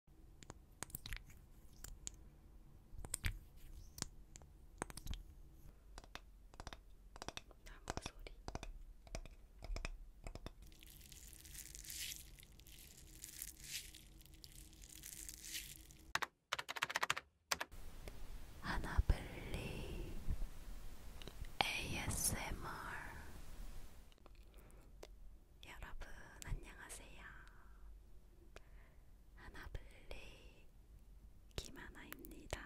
나무 소리. 하나블리 ASMR 여러분 안녕하세요. 하나블리 김하나입니다.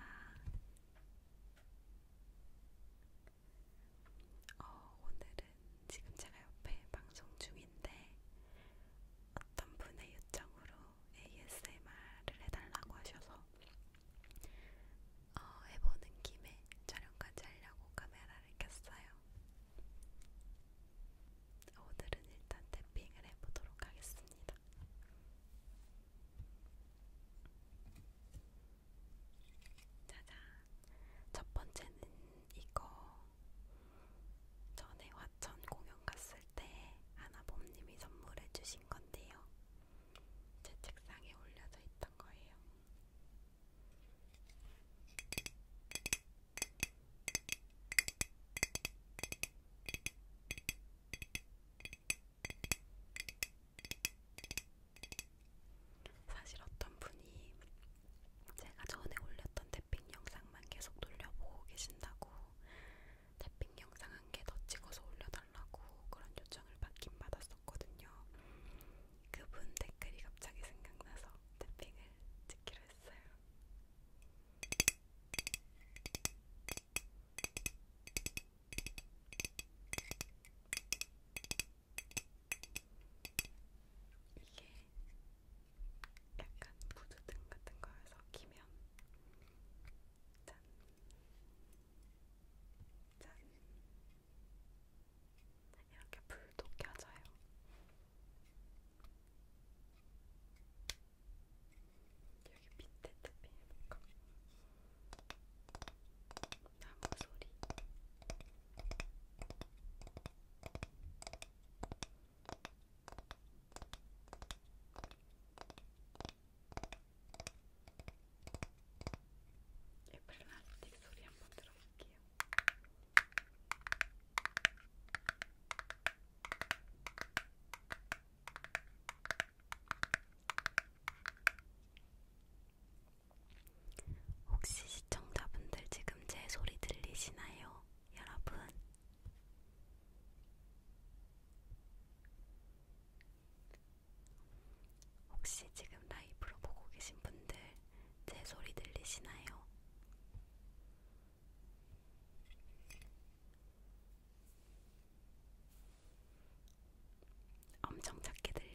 어, 오늘은 지금 제가 옆에 방송 중인데 어떤 분의 요청으로 ASMR을 해달라고 하셔서 어, 해보는 김에 촬영까지 하려고 카메라를 켰어요. 오늘은 일단 탭핑을 해보도록 하겠습니다. 짜잔! 첫 번째는 이거 전에 화천 공연 갔을 때 하나봄님이 선물해 주신 건데요. 제 책상에 올려져 있던 거예요. 사실 어떤 분이 제가 전에 올렸던 태핑 영상만 계속 돌려보고 계신다고 태핑 영상 한 개 더 찍어서 올려달라고 그런 요청을 받긴 받았었거든요. 그분 댓글이 갑자기 생각나서 태핑을 찍기로 했어요. 이게 약간 구두등 같은 거에서 끼면 짠, 짠, 이렇게 불도 켜져요. 여기 밑에 탭에 해볼까? 나무 소리. 이 예, 플라스틱 소리 한 번 들어볼게요. 혹시 시청자분들 지금 제 소리 들리시나요, 여러분? 혹시 지금 라이브로 보고 계신 분들 제 소리 들리시나요? 엄청 작게 들려요.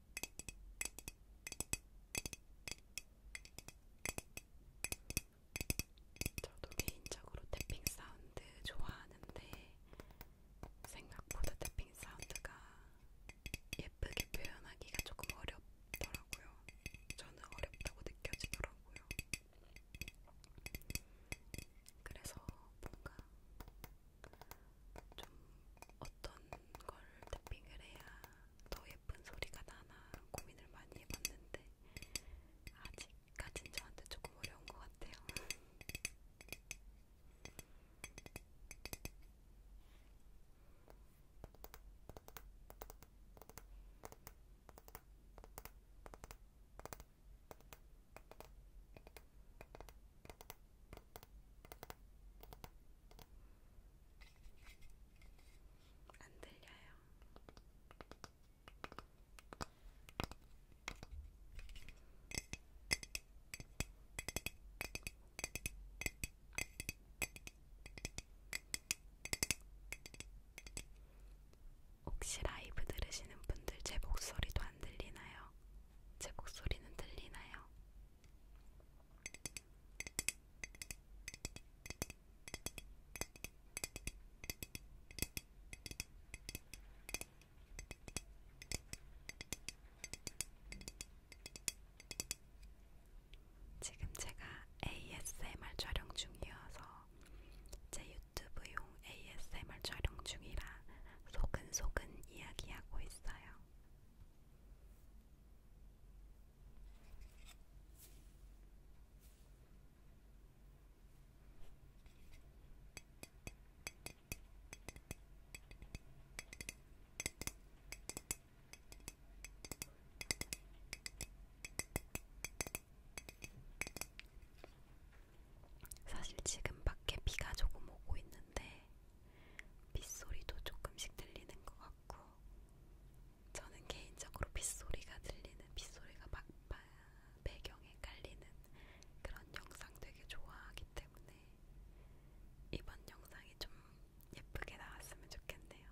저도 개인적으로 태핑 사운드 좋아하는데 생각보다 태핑 사운드가 예쁘게 표현하기가 조금 어렵더라고요. 저는 어렵다고 느껴지더라고요. 그래서 뭔가 좀 어떤 걸 태핑을 해야 더 예쁜 소리가 나나 고민을 많이 해봤는데 아직까진 저한테 조금 어려운 것 같아요. 안 들려요. 혹시 라이브 들으시는 분들 제 목소리도 안 들리나요? 제 목소리는 들리나요? 지금 제가 ASMR 촬영 중이어서 제 유튜브용 ASMR 촬영 중이라 소근소근 이야기하고 있어요. 사실 지금 밖에 비가 조금 오고 있는데 빗소리도 조금씩 들리는 것 같고 같고 저는 개인적으로 빗소리가 들리는 빗소리가 막 배경에 깔리는 그런 영상 되게 좋아하기 때문에 이번 영상이 좀 예쁘게 나왔으면 좋겠네요.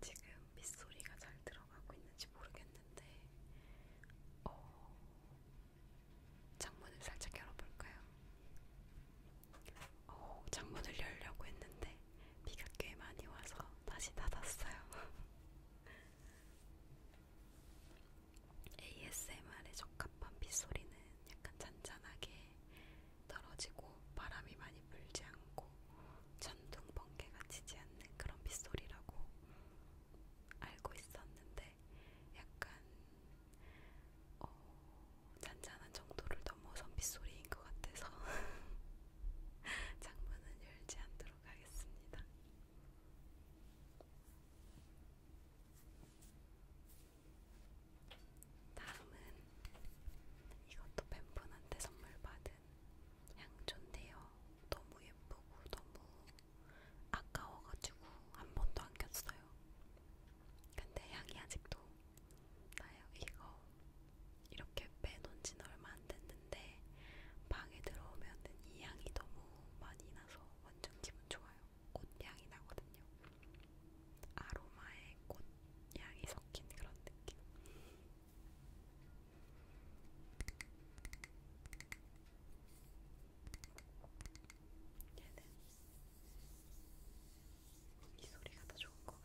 지금 빗소리가 잘 들어가고 있는지 모르겠는데, 어, 창문을 살짝 열어볼까요? 어, 창문을 열려고 했는데 비가 꽤 많이 와서 다시 닫았어요. ASMR에 적합한 빗소리는 약간 잔잔하게 떨어지고 바람이 많이 불지 않고 천둥 번개가 치지 않는 그런 빗소리라고 알고 있었는데 약간 어, 잔잔한 정도를 넘어선 빗소리인 것 같아서 창문은 열지 않도록 하겠습니다. 다음은 이것도 뱀분한테 선물 받은 향초인데요. 너무 예쁘고 너무 아까워가지고 한 번도 안 꼈어요. 근데 향이 아직도 나요 이거 이렇게 빼놓은 지는 얼마 안 됐는데 방에 들어오면은 이 향이 너무 많이 나서 완전 기분 좋아요. 꽃향이 나거든요. 아로마에 꽃향이 섞인 그런 느낌. 얘는 이 소리가 더 좋은 것 같아.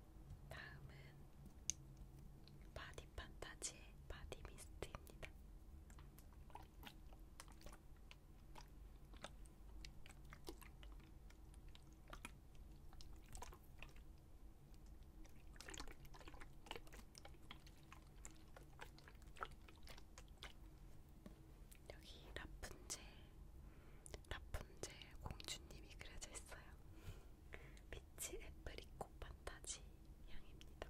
다음은 바디 판타지의 바디 미스트입니다. 여기 라푼젤 라푼젤 공주님이 그려져 있어요. 빛이 애프리콧 판타지 향입니다.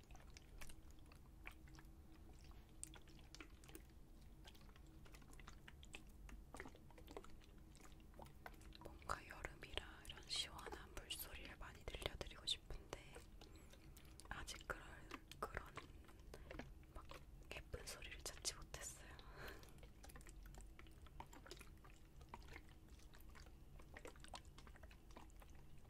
뭔가 여름이라 이런 시원한 물소리를 많이 들려드리고 싶은데 아직 그럴, 그런 막 예쁜 소리를 찾지 못했어요.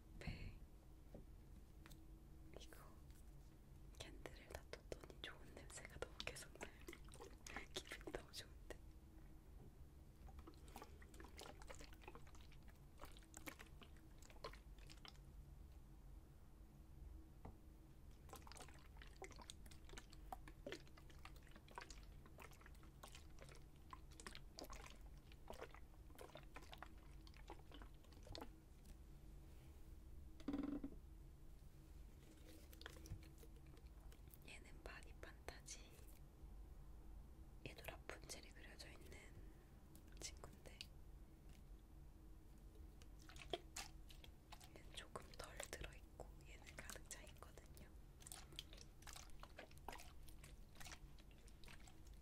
옆에 이거 캔들을 놔뒀더니 좋은 냄새가 너무 계속 나요. 기분이 너무 좋은데. 얘는 바디 판타지. 얘도 라푼젤이 그려져 있는 친구인데 얘는 조금 덜 들어있고 얘는 가득 차있거든요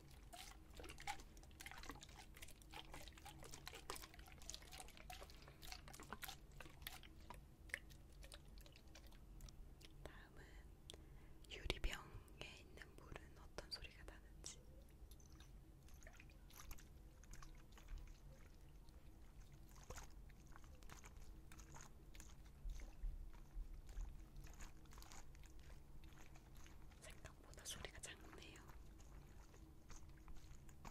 다음은 유리병에 있는 물은 어떤 소리가 나는지. 생각보다 소리가 작네요. 음,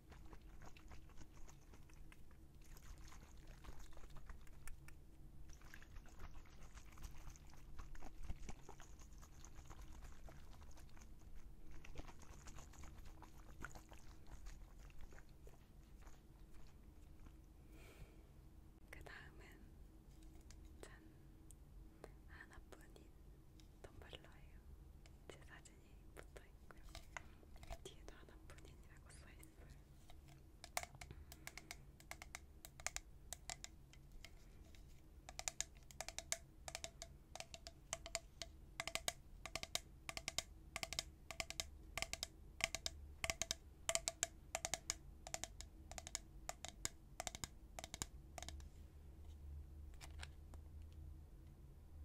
그 다음은 짠! 하나뿐인 덤블러예요. 제 사진이 붙어 있고요. 뒤에도 하나 본인이라고 써 있어요. 음,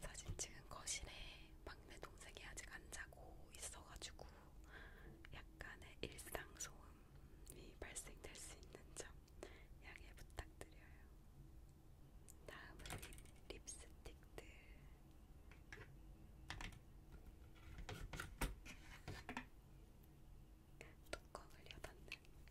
사실 지금 거실에 막내 동생이 아직 안 자고 있어가지고 약간의 일상 소음이 발생될 수 있는 점 양해 부탁드려요. 다음은 립, 립스틱들. 뚜껑을 여닫는 거래보는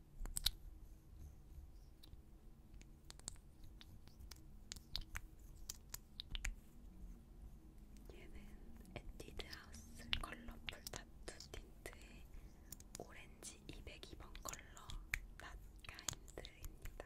얘는 에뛰드하우스 컬러풀 타투 틴트의 오렌지 202번 컬러 낫가인드입니다.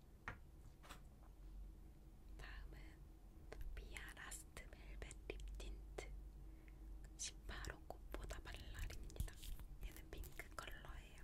다음은 미아 라스트 멜벳 립 틴트 18호 꽃보다 발랄입니다. 얘는 핑크 컬러예요.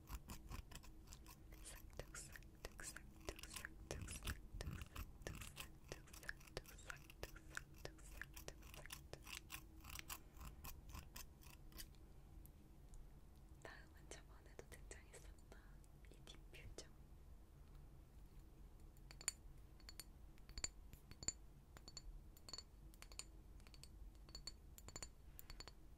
다음은 저번에도 등장했었던 이 딥퓨저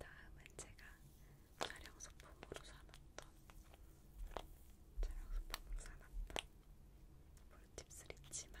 다음은 제가 촬영 소품으로 사놨던 촬영 소품으로 사놨던 볼팁스 리치만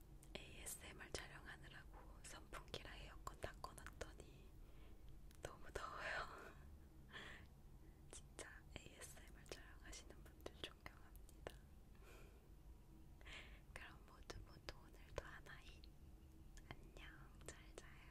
ASMR 촬영하느라고 선풍기라 에어컨 다 꺼놨더니 너무 더워요. 진짜 ASMR 촬영하시는 분들 존경합니다. 그럼 모두 모두 오늘도 하나이 안녕 잘 자요.